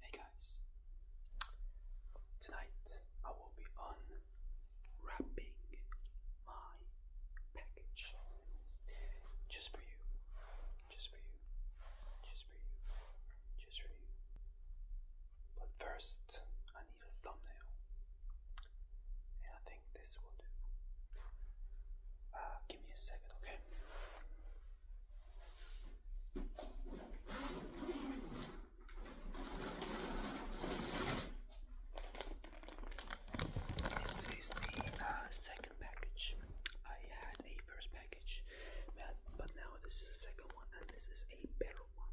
Hey guys, tonight I will be unwrapping my package just for you, just for you, just for you, just for you. But first, I need a thumbnail, and I think this will do. Uh, give me a second, okay? This is the uh, second package. I had a first package, but, but now this is the second one, and this is a better one.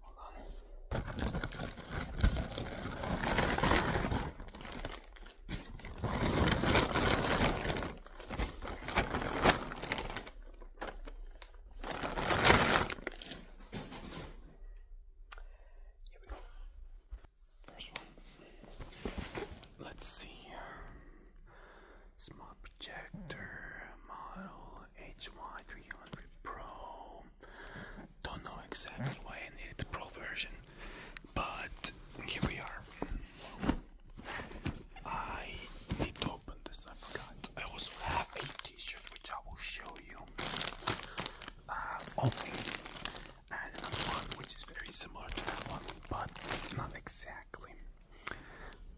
Hold on. Here we go. First one. Let's see here. Smart projector model HY300 Pro. Don't know exactly why I needed the Pro version, but here we are. I need to open this, I forgot. I also have a t shirt which I will show you. Uh, opening and another one which is very similar to that one, but not exactly.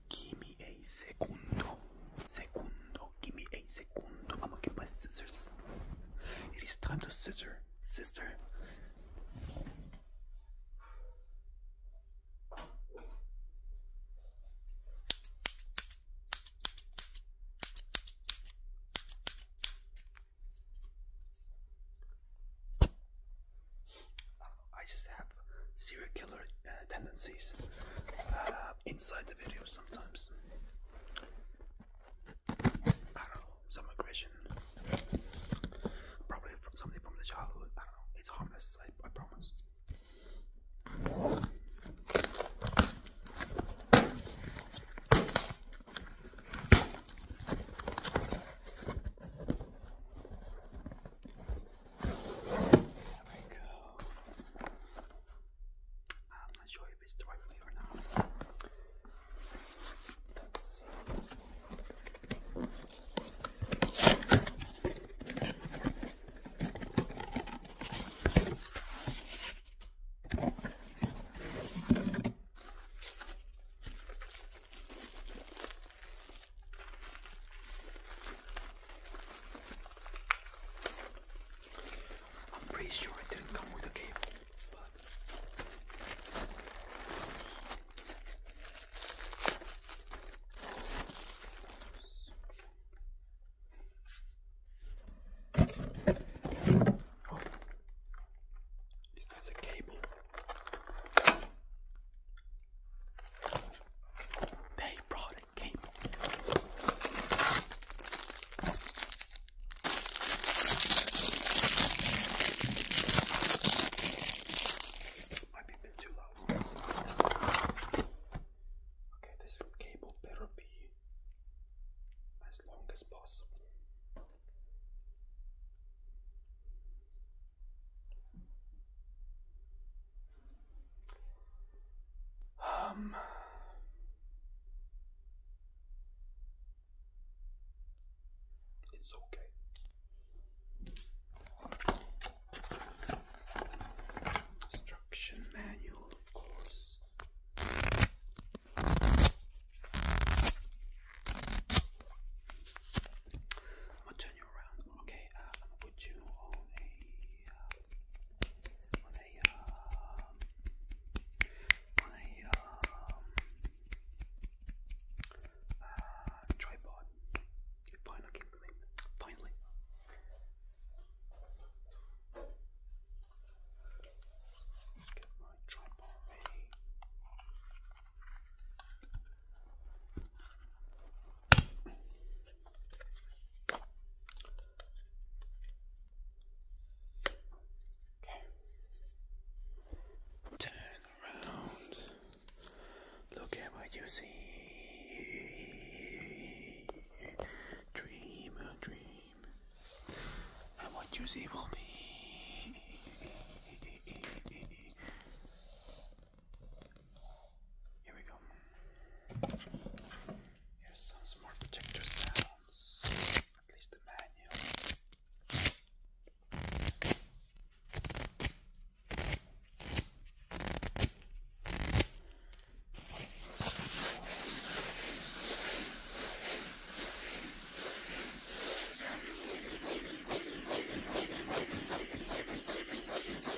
Give me a second, Secundo. Give me a second. I'm gonna get my scissors. It is time to scissor, sister. I just have serial killer uh, tendencies uh, inside the video sometimes. I don't know, some aggression, probably from something from the childhood. I don't know, it's harmless, I promise. There we go. I'm not sure if it's the right or not. I'm pretty sure it didn't come with a cable, oh. is this a cable? They brought a cable. Might be a bit too low. Okay, this cable better be as long as possible. Um, it's okay. Instruction manual, of course. I'm going Okay, uh, I'm you on a uh, a um, a um, uh, tripod. Finally, finally. Let's get my tripod ready. Turn around. Look at what you see. Dream a dream. And what you see will be here we go. Here's some smart projector sounds. At least the manual.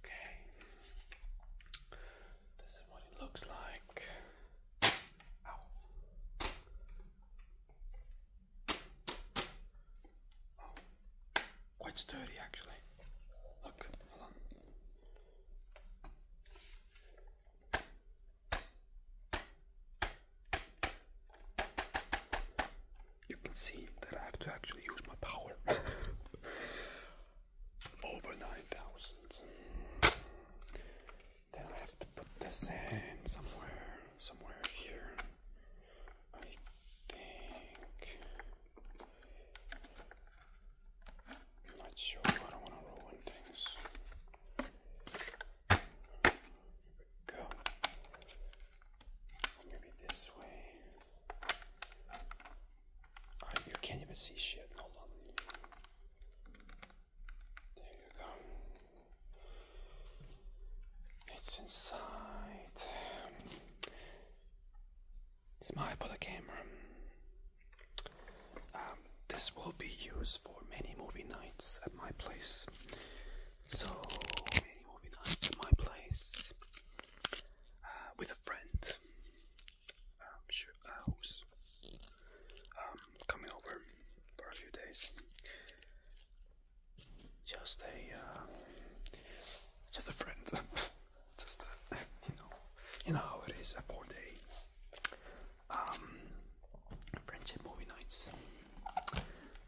Okay. This is what it looks like. Ow. Quite sturdy actually. Look, hold on you can see that I have to actually use my power. Over 9,000. Then I have to put this in somewhere, somewhere here. I think. not sure, I don't want to ruin things. Go. Maybe this way. Oh, you can't even see shit. Hold on. There you go. It's inside. Smile for the camera. Um, this will be used for many movie nights at my place. So many movie nights at my place. Uh, with a friend um, uh, who's um, coming over for a few days. Just a uh, just a friend, just a, you know, you know how it is a four day um, friendship movie nights.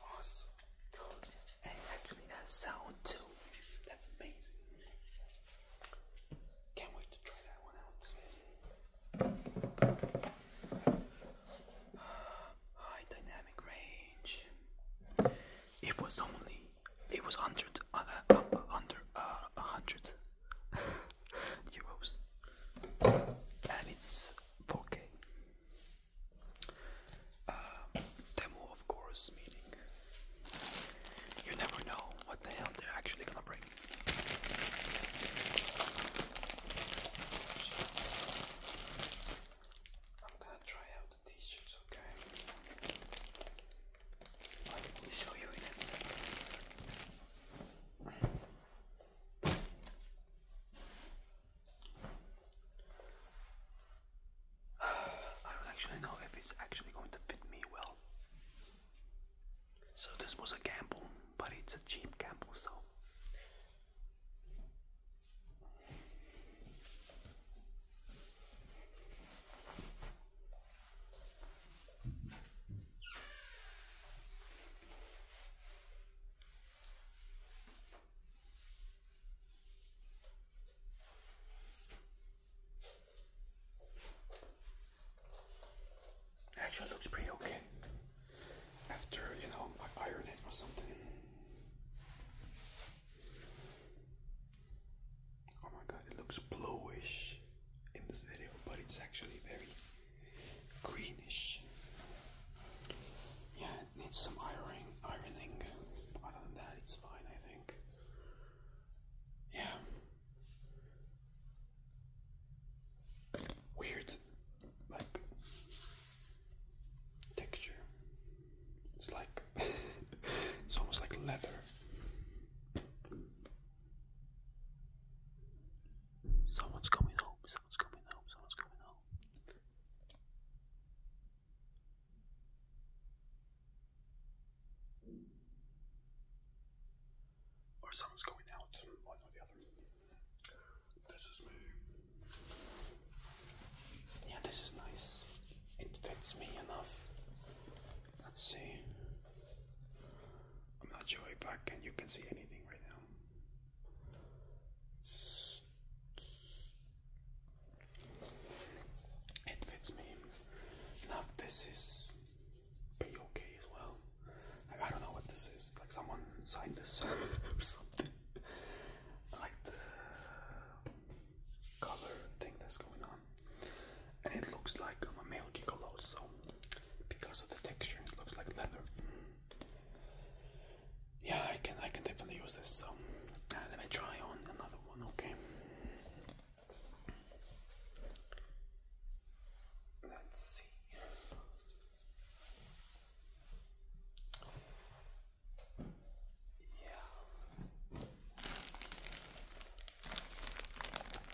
Awesome. And actually that sound too. That's amazing. Can't wait to try that one out. High dynamic range. It was only it was uh, uh, uh, under under a hundred euros, and it's 4K. Um, demo, of course, meaning you never know what the hell they're actually gonna bring. I'm gonna try out the t-shirts, okay? I will show you in a second. actually know if it's actually going to fit me well. So this was a gamble, but it's a cheap gamble, so. Actually looks pretty okay after, you know, I iron it or something. Oh my god, it looks bluish in this video, but it's actually very greenish. Yeah, it needs some ironing. Ironing. Other than that, it's fine, I think. Yeah. Weird, like texture. It's like it's almost like leather. Someone's coming home, someone's coming home, someone's coming home. Or someone's going out, one or the other. This is me. Yeah, this is nice. It fits me enough. Let's see. I'm not sure if I can you can see anything right now. It fits me. Now this is pretty okay as well. Like I don't know what this is. Like someone signed this or something. like the color thing that's going on and it looks like I'm um, a male gigolo, so because of the texture, it looks like leather. Yeah, I can, I can definitely use this. So ah, let me try on another one. Okay, let's see. Yeah.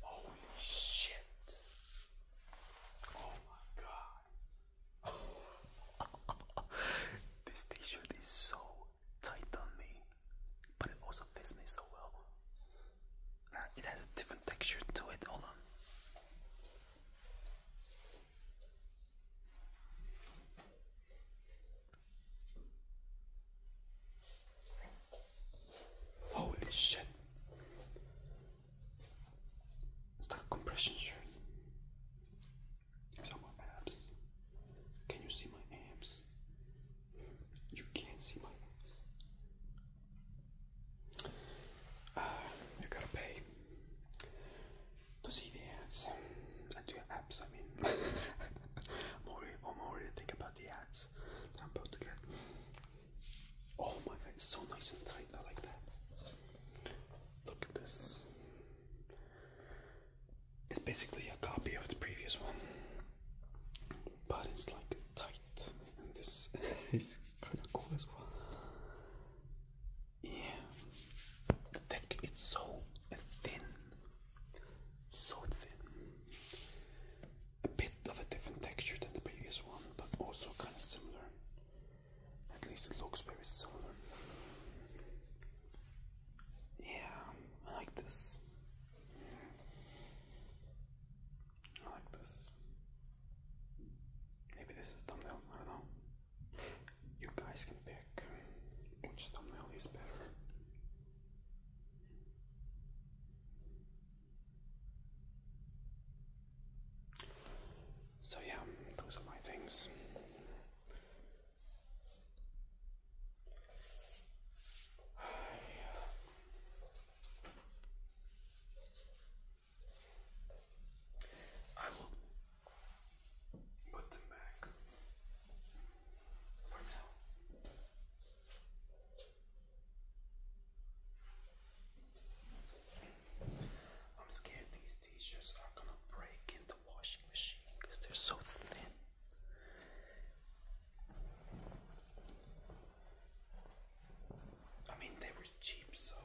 Holy shit. Oh my god. this t shirt is so tight on me, but it also fits me so well. Uh, it has a different texture to it. Hold Holy shit. It's like a compression shirt. These are my abs. Can you see my abs? You can't see my abs. Uh, you gotta pay to see the ads and do your abs. I mean, I'm already, I'm already thinking about the ads that I'm about to get. Oh my god, it's so nice and tight. I like that. Look at this. It's basically a copy of the previous one, but it's like tight, and this is kind of cool as well. Yeah, thick. It's so thin, so thin a bit of a different texture than the previous one, but also kind of similar. At least it looks very similar. Yeah, I like this. I like this. Maybe this is thumbnail, I don't know. You guys can pick which thumbnail is better. So, yeah, those are my things. I will put them back for now. I'm scared these t-shirts are gonna break in the washing machine because they're so thin. I mean, they were cheap, so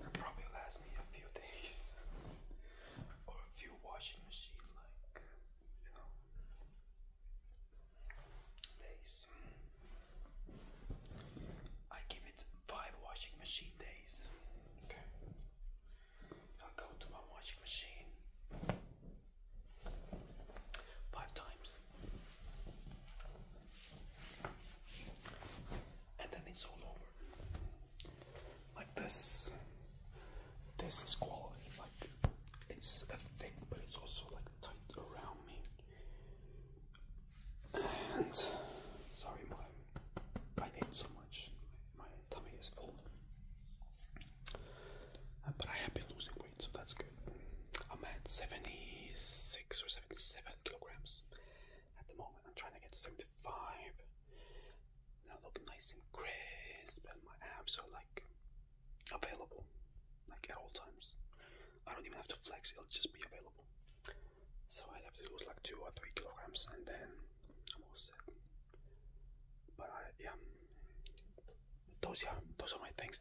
it probably last me a few days or a few washing machine, like you know days. I give it five washing machine days. Okay. i go to my washing machine five times. And then it's all over like this. This is quality. Like it's a thick, but it's also like tight around me. And sorry, my I ate so much. My tummy is full. Uh, but I have been losing weight, so that's good. I'm at 76 or 77 kilograms at the moment. I'm trying to get to 75. And I look nice and crisp, and my abs are available, like at all times. I don't even have to flex; it'll just be available. So i have to lose like two or three kilograms, and then I'm all set. But I, yeah, those yeah, those are my things.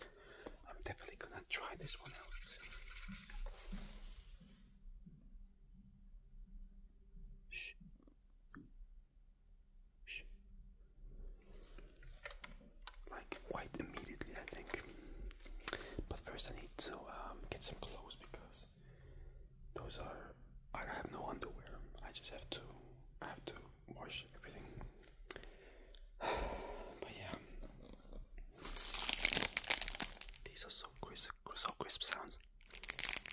I'm definitely gonna try this one out. Like quite immediately, I think. But first, I need to um, get some clothes because those are. I have no underwear. I just have to. I have to wash everything. but yeah, these are so crisp, so crisp sounds.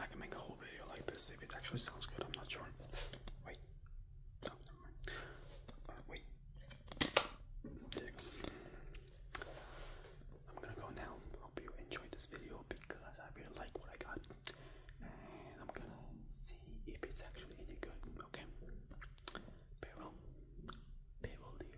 I can make a whole video like this if it actually sounds good. I'm not sure. Wait. Oh, uh, wait. I'm gonna go now. Hope you enjoyed this video because I really like what I got, and I'm gonna see if it's actually any good. Okay. Farewell. Farewell, dear.